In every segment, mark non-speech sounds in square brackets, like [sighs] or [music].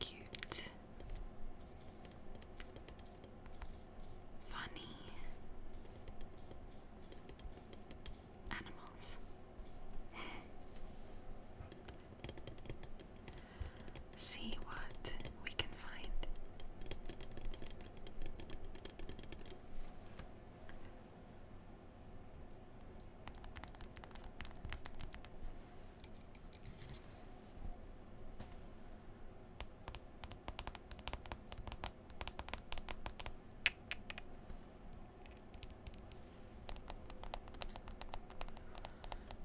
Cute. Funny. Animals. [laughs] See what we can find.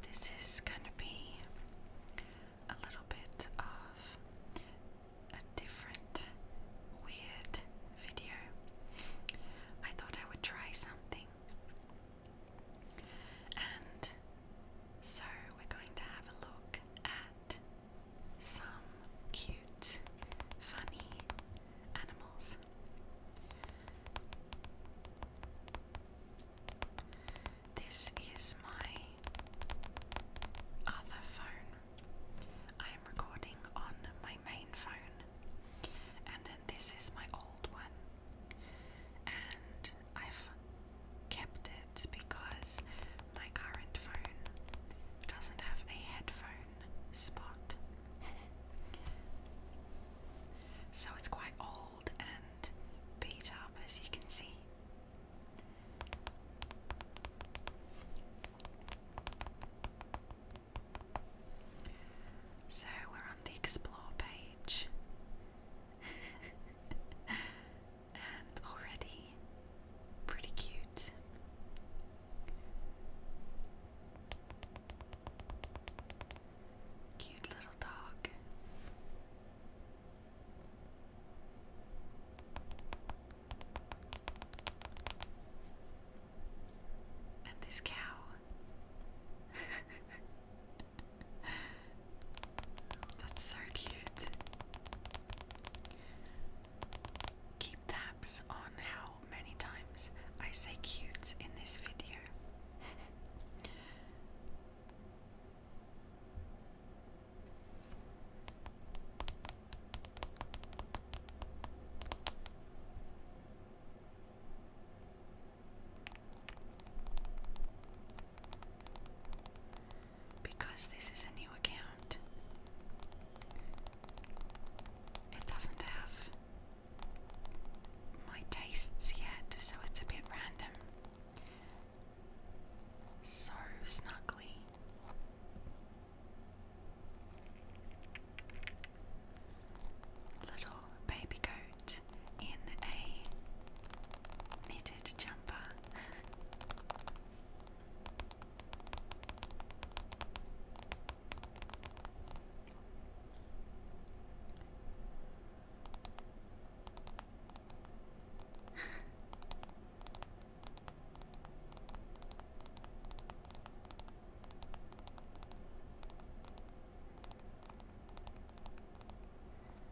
This is going to be a little bit of a different weird video. I thought I would try something. And so we're going to have a look at some cute, funny animals. This is my other phone I am recording on my main phone, and then this is my old one, and I've kept it because my current phone doesn't have a headphone spot. so it's quite old and beat up, as you can see. So we're on the explore page, [laughs] and already pretty cute. Cute little dog. And this cow. [laughs] That's so cute. Keep tabs on how many times I say cute in this video. Because this is a new account, it doesn't have my tastes yet, so it's a bit random so snuggly. Little baby goat in a knitted jumper.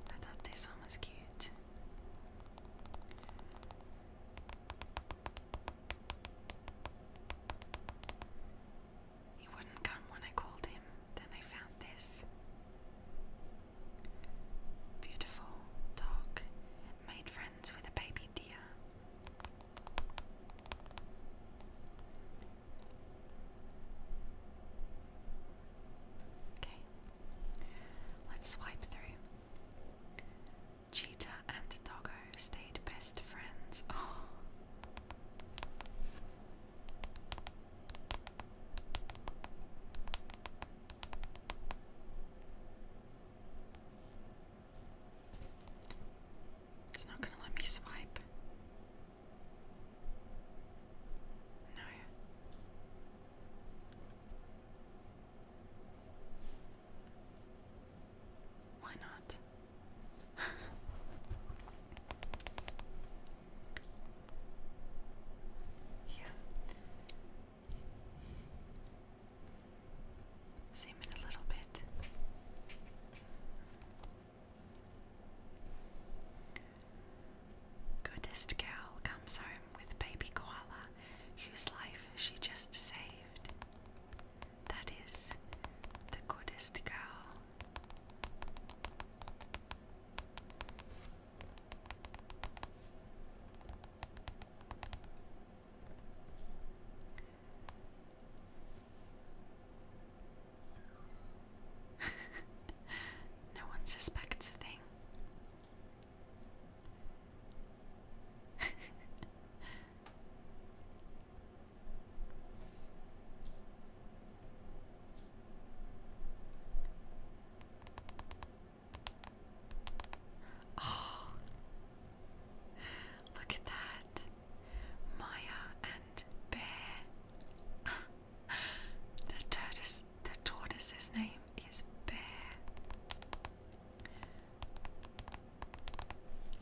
I thought this one was cute. He wouldn't come when I called him. Then I found this. Beautiful dog made friends with a baby deer. Okay, let's swipe through. Cheetah and Doggo stayed best friends. [laughs] Oh. It's not going to let me swipe. No. Why not? [laughs] yeah. Zoom in a little bit. Goodest girl comes home with baby koala, whose life she just saved. That is the goodest girl. [laughs] no one suspects a thing. [laughs] Oh, look at that. Maya and Bear. [gasps] the tortoise the tortoise's name is Bear.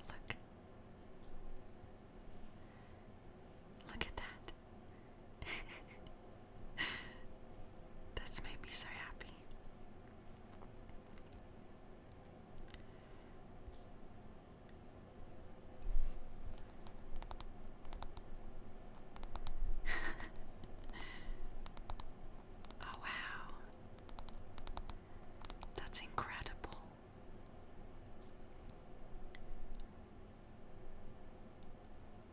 Look. Look at that. [laughs] [laughs] That's made me so happy. [laughs] oh, wow. That's incredible.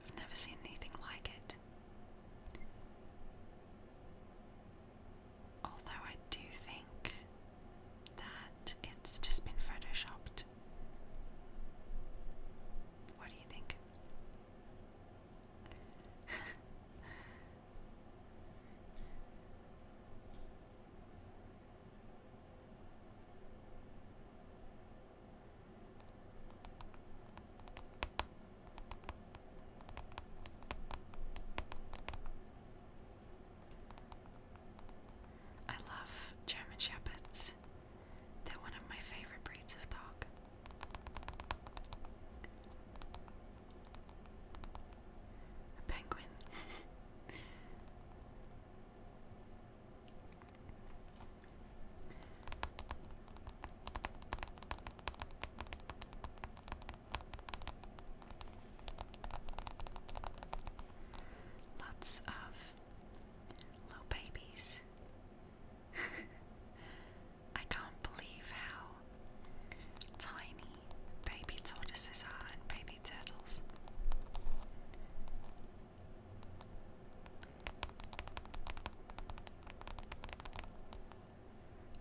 I've never seen anything like it. Although I do think that it's just been photoshopped. What do you think? [laughs] I love German Shepherds. They're one of my favorite breeds of dog. penguin. [laughs] Lots of little babies. [laughs] I can't believe how tiny baby tortoises are and baby turtles.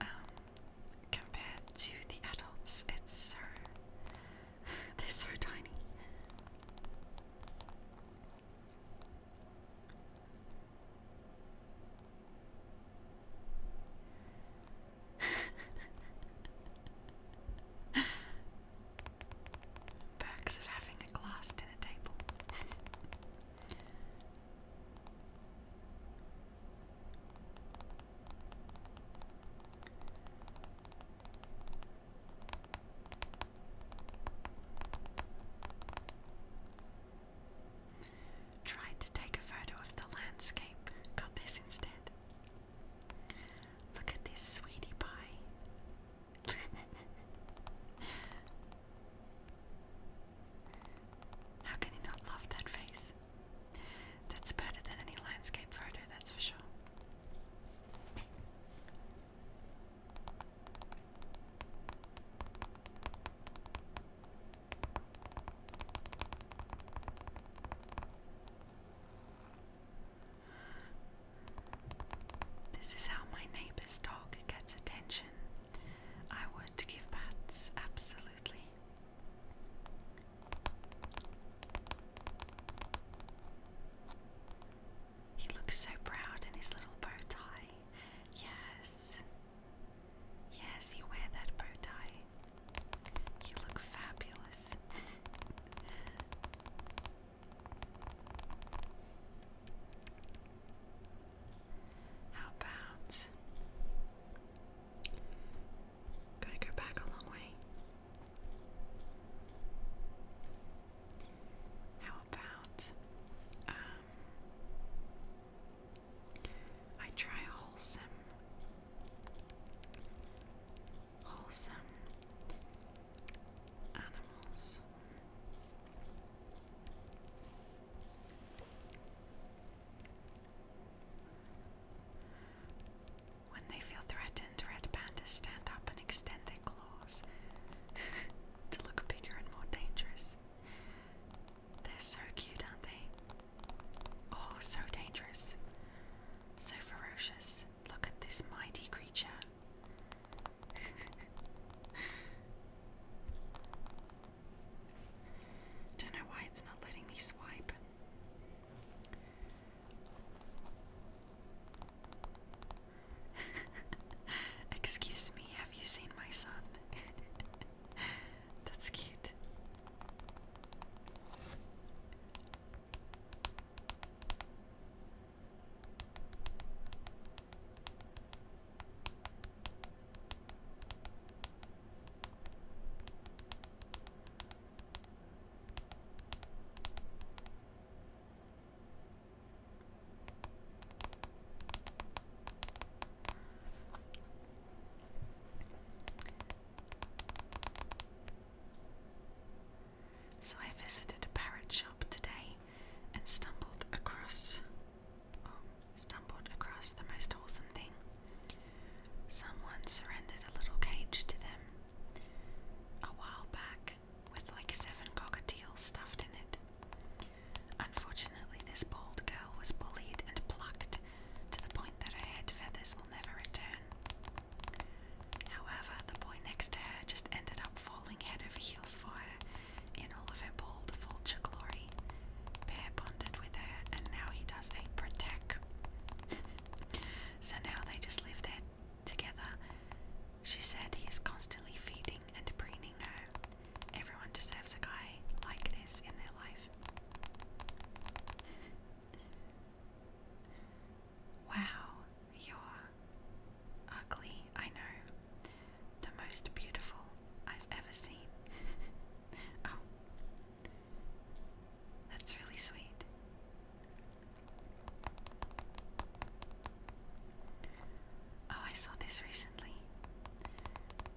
Um, compared to the adults, it's so [laughs] they're so tiny. [laughs] Perks of having a glass dinner table. Tried to take a photo of the landscape, got this instead. Look at this sweetie pie. [laughs] How can you not love that face? That's better than any landscape photo, that's for sure. This is how my neighbor's dog gets attention. I would give pats, absolutely. He looks so proud in his little bow tie. Yes. Yes, you wear that bow tie. You look fabulous. [laughs] How about gotta go back a long way? How about um, I try wholesome wholesome animals. When they feel threatened, red pandas stand up and extend their claws [laughs] to look bigger and more dangerous. They're so cute, aren't they? Oh, so dangerous. So ferocious. Look at this mighty creature. [laughs] Don't know why it's not letting me swipe. [laughs] Excuse me, have you seen my son? [laughs] That's cute. So I visited a parrot shop today and stumbled across um, stumbled across the most wholesome thing. Someone surrendered a little cage to them a while back with like seven cockatiels stuffed in it. Unfortunately, this bald girl was bullied and plucked to the point that her head feathers will never return. However, the boy next to her just ended up falling head over heels for her in all of her the vulture glory, Bear bonded with her, and now he does a protect. [laughs] so now they just live there together. She said he is constantly feeding and preening her. Everyone deserves a guy like this in their life. [laughs] Wow, you're ugly, I know the most beautiful I've ever seen. [laughs] oh, that's really sweet. Oh, I saw this recently.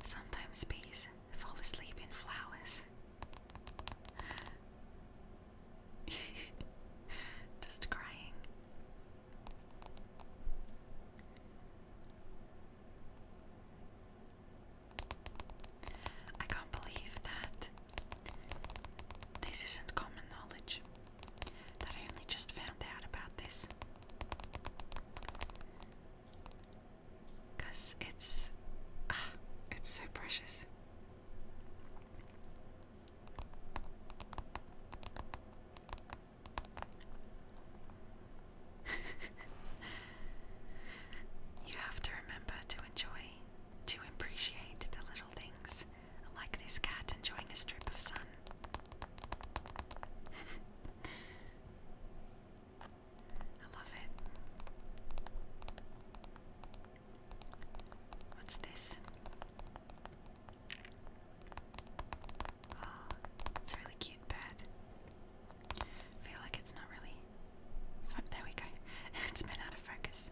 Sometimes bees fall asleep in flowers. [laughs] Just crying. I can't believe that this isn't common knowledge, that I only just found out about this. it's. Ah, it's so precious. [laughs] you have to remember to enjoy, to appreciate the little things, like this cat enjoying a strip of sun. [laughs] I love it. What's this? Oh, it's a really cute bird. I feel like it's not really. There we go. [laughs] it's been out of focus.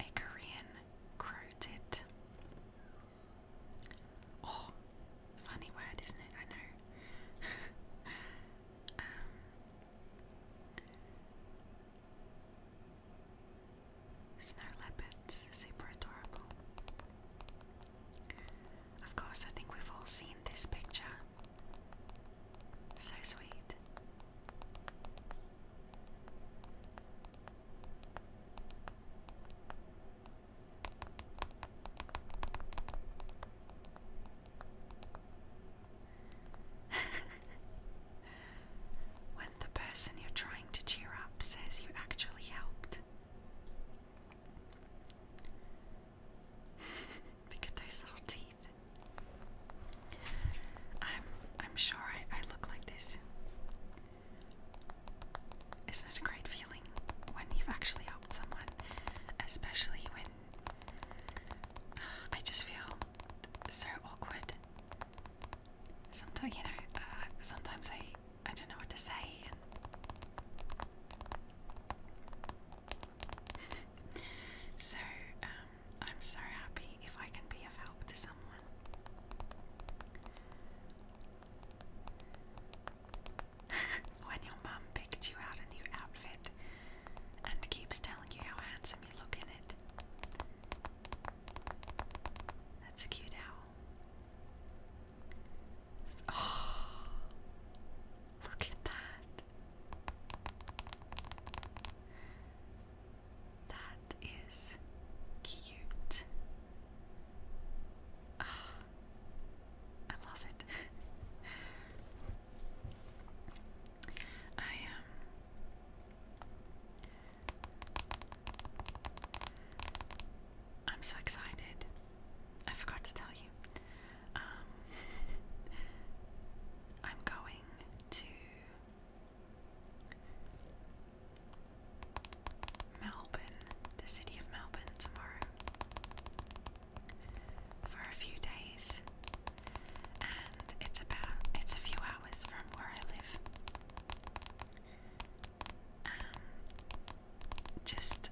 A Korean croated. Oh, funny word, isn't it? I know. [laughs] Um, Snow leopards, super adorable. Of course, I think we've all seen this picture. So sweet. [laughs] when the person you're trying to cheer up says you actually helped. [laughs] Look at those little teeth. I'm I'm sure I, I look like this. Isn't it a great feeling when you've actually helped someone? Especially when [sighs] I just feel so awkward Sometimes you know, uh, sometimes I I don't know what to say. [laughs] so um, I'm so happy if I can be of help to someone. [laughs] when your mum picked you out a new outfit and keeps telling you how handsome you look in it, that's a cute owl. Oh, look at that. That is cute. Ah, I love it. [laughs] I um I'm so excited. I forgot to tell you. Um, [laughs] I'm going to Melbourne, the city of Melbourne, tomorrow for a few days, and it's about it's a few hours from where I live. Um, just,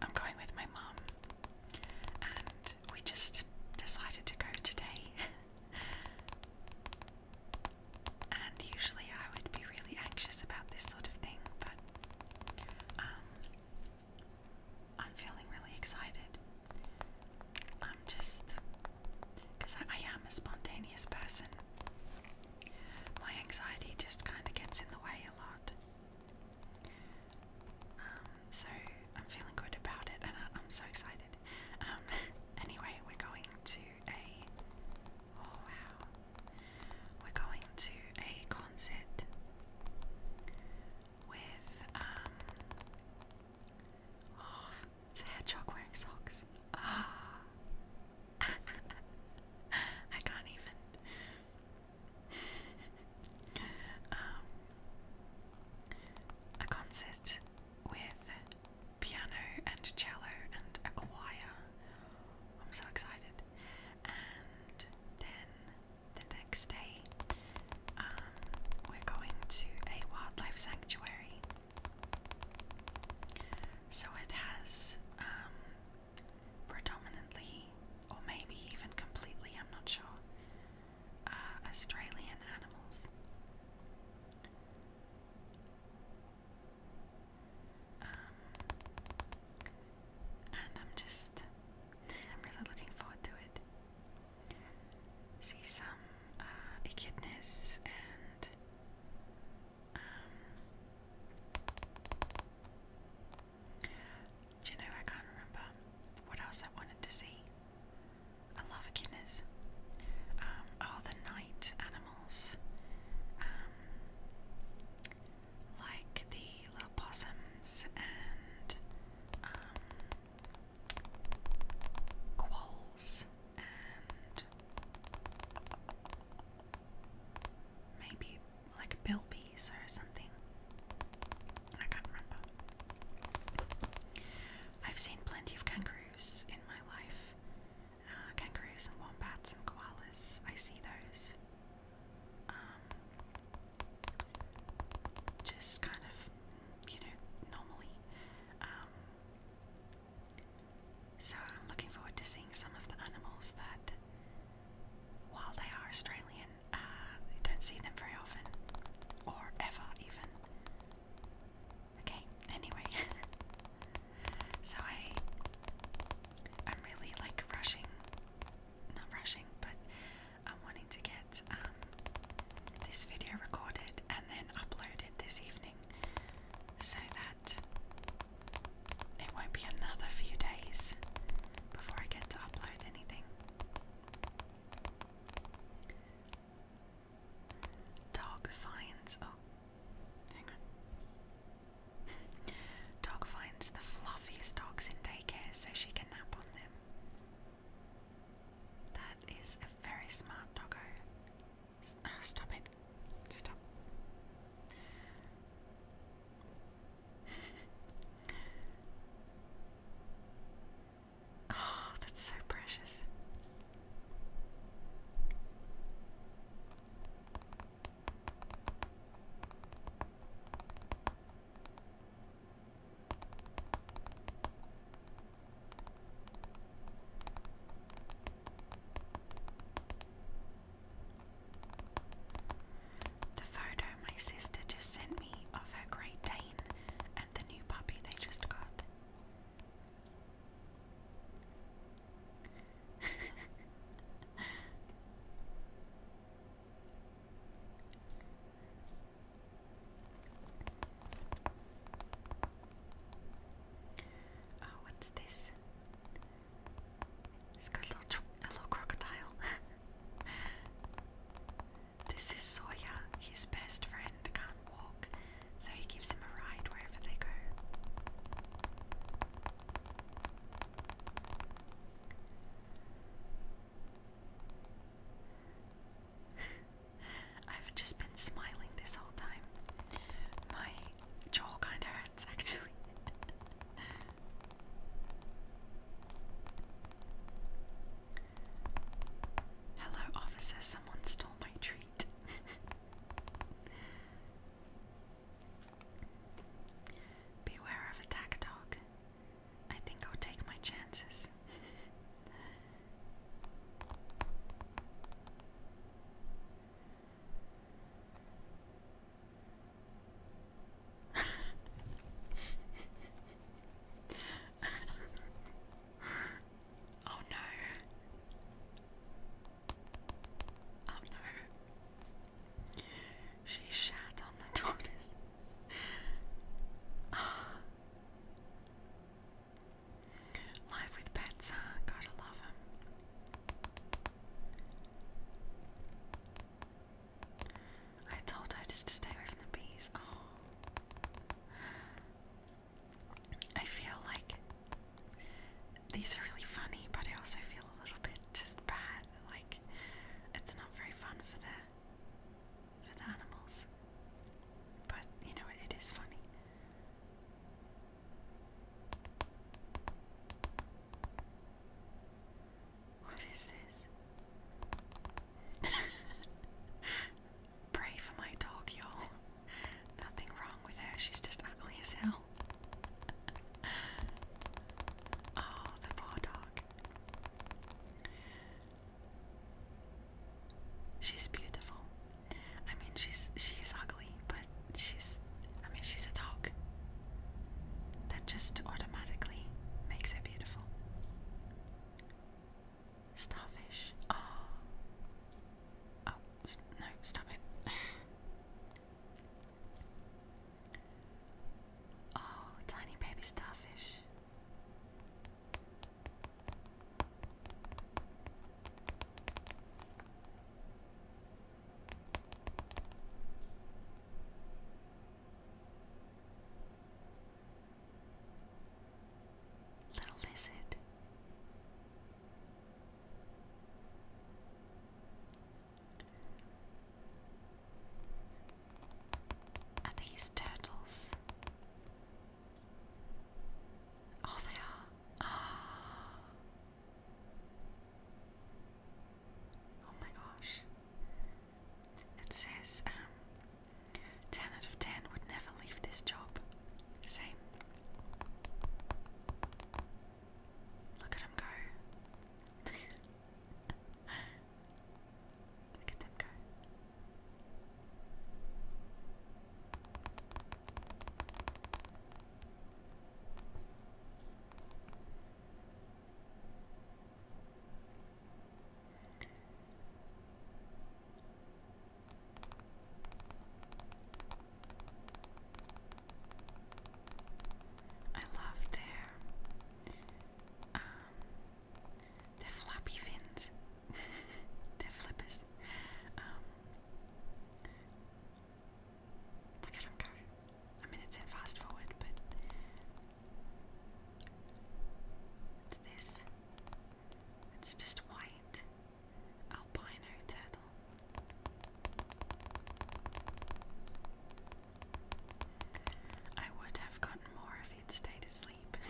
I'm going with my mum, and we just decided to go today. [laughs] and usually I would be really anxious about this sort of thing, but um, I'm feeling really excited. I'm just because I, I am a spontaneous person. My anxiety just kind of gets in the way a lot. Um, so I'm feeling good about it, and I, I'm so excited. Um, [laughs] anyway, we're going to a oh wow, we're going to a concert with um. Oh, it's a hedgehog wearing socks. Ah. [gasps] I can't even. [laughs] um, a concert with piano and cello and a choir. I'm so excited. And then the next day, um, we're going to a wildlife sanctuary so it has um, predominantly, or maybe even completely, I'm not sure, uh, Australian animals. Um, and I'm just, I'm really looking forward to it see some uh, echidnas and um, do you know I can't remember what else I wanted to see. I love echidnas. Um, oh, the night animals, um, like the little possums and um, quolls and maybe like bilbies or something. I can't remember. I've seen plenty of kangaroos in my life. Uh, kangaroos and wombats and koalas. I see those. Um, just kind of, you know, normally. Um, so I'm looking forward to seeing some of the animals that, while they are Australian, uh, don't see them very often, or ever even. Okay, anyway. [laughs] so I, I'm really like rushing, not rushing, but I'm wanting to get um, this video recorded and then uploaded this evening so that it won't be another few days before I get to upload anything. Dog finds. Oh, hang on. [laughs] Dog finds the fluffiest dogs in daycare so she can nap on them. That is a very smart doggo. stop it. Stop. [laughs] oh, that's so precious. The photo my sister just sent me of her Great Dane and the new puppy they just got. [laughs] Oh, what's this? It's got a little, a little crocodile. [laughs] this is Sawyer. His best friend can't walk, so he gives him a ride wherever they go. [laughs] I've just been smiling this whole time. My jaw kind of hurts actually. [laughs] Hello, officer, someone stole my treat. [laughs] Beware of attack dog. I think I'll take my chances. [laughs] [laughs] oh no. Oh no. She shat on the [laughs] tortoise. [gasps] Oh. Live with pets, huh? Gotta love them. I told her just to stay away from the bees. Oh. I feel like these are really funny, but I also feel a little bit just bad. Like, it's not very fun for the for the animals. But, you know, it is funny. What is this? [laughs] Pray for my dog, y'all. Nothing wrong with her, she's just ugly as hell. [laughs] oh, the poor dog. She's beautiful. I mean, she's she's ugly, but she's I mean, she's a dog. That just automatically makes her beautiful. Starfish. Oh. Oh, no, stop it. [sighs] oh, tiny baby starfish. Little lizard. Are these turtles? Oh, they are. Oh. oh my gosh. It says um, 10 out of 10 would never leave this job. Same. Look at him go. Look at them go. I love their um their flappy fins. [laughs] Their flippers. Um, look at them go. I mean, it's in fast forward, but. It's this. It's just white. Albino turtle. I would have gotten more if he'd stayed asleep. [laughs]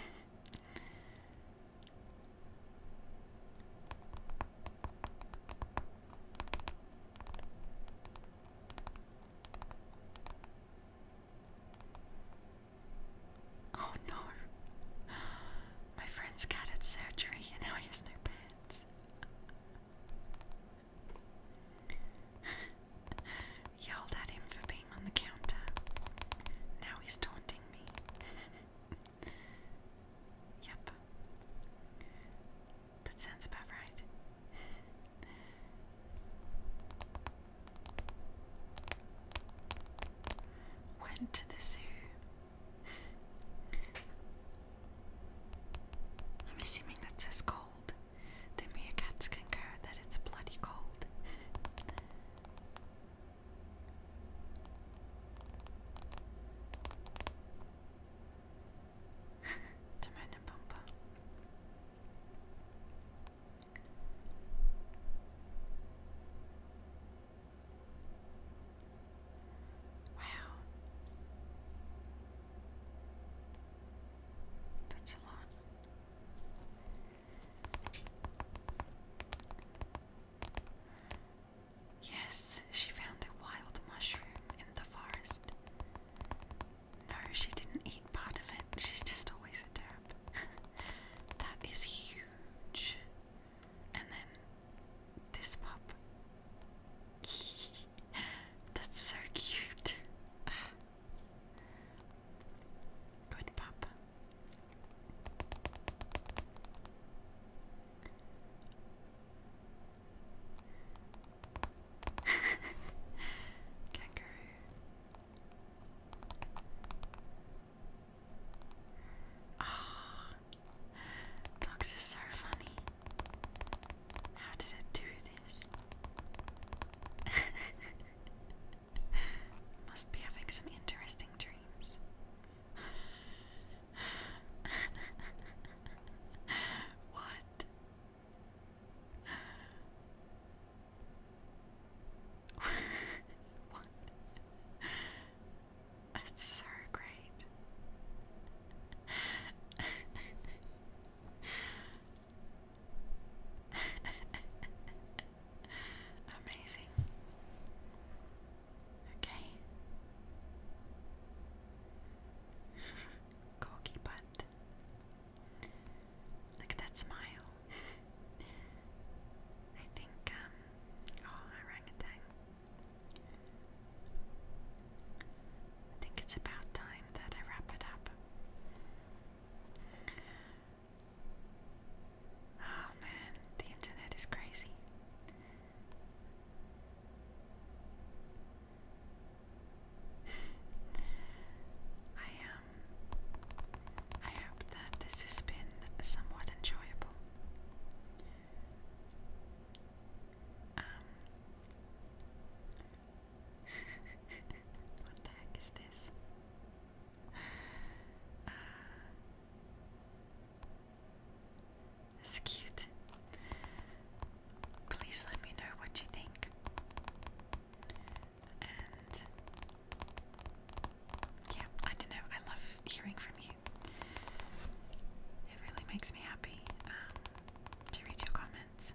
Oh no. [gasps] My friend's cat had surgery and now he has no pets. [laughs] Yelled at him for being on the counter. Now he's taunting me. [laughs] yep. That sounds about right. Went to the zoo. I'm assuming that says cold. The meerkats concur that it's bloody cold. To meine Wow. That's a lot. Yes, she found a wild mushroom in the forest. No, she didn't eat part of it. She's just always a derp. [laughs] that is huge. And then this pup. [laughs] That's so cute. [laughs] Good pup. Kangaroo. Ah, dogs is so funny. How did it do this? [laughs] [laughs] Must be having some interesting dreams. [laughs] what? [laughs] what? That's so great. Amazing. Okay. Corky [laughs] butt. Look at that smile. [laughs] I think, um, oh, orangutan. I think it's about time that I wrap it up. Oh man, the internet is crazy. [laughs] I um I hope that this has been somewhat enjoyable. Um [laughs] What the heck is this? Uh, it's cute. Please let me know what you think. And yeah, I don't know. I love hearing from you. It really makes me happy um, to read your comments.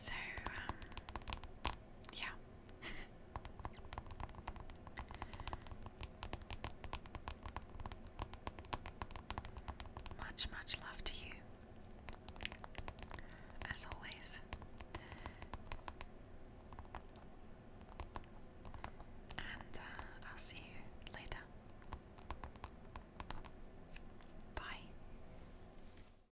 So, um, yeah. much, much love to you. As always. And uh, I'll see you later. Bye.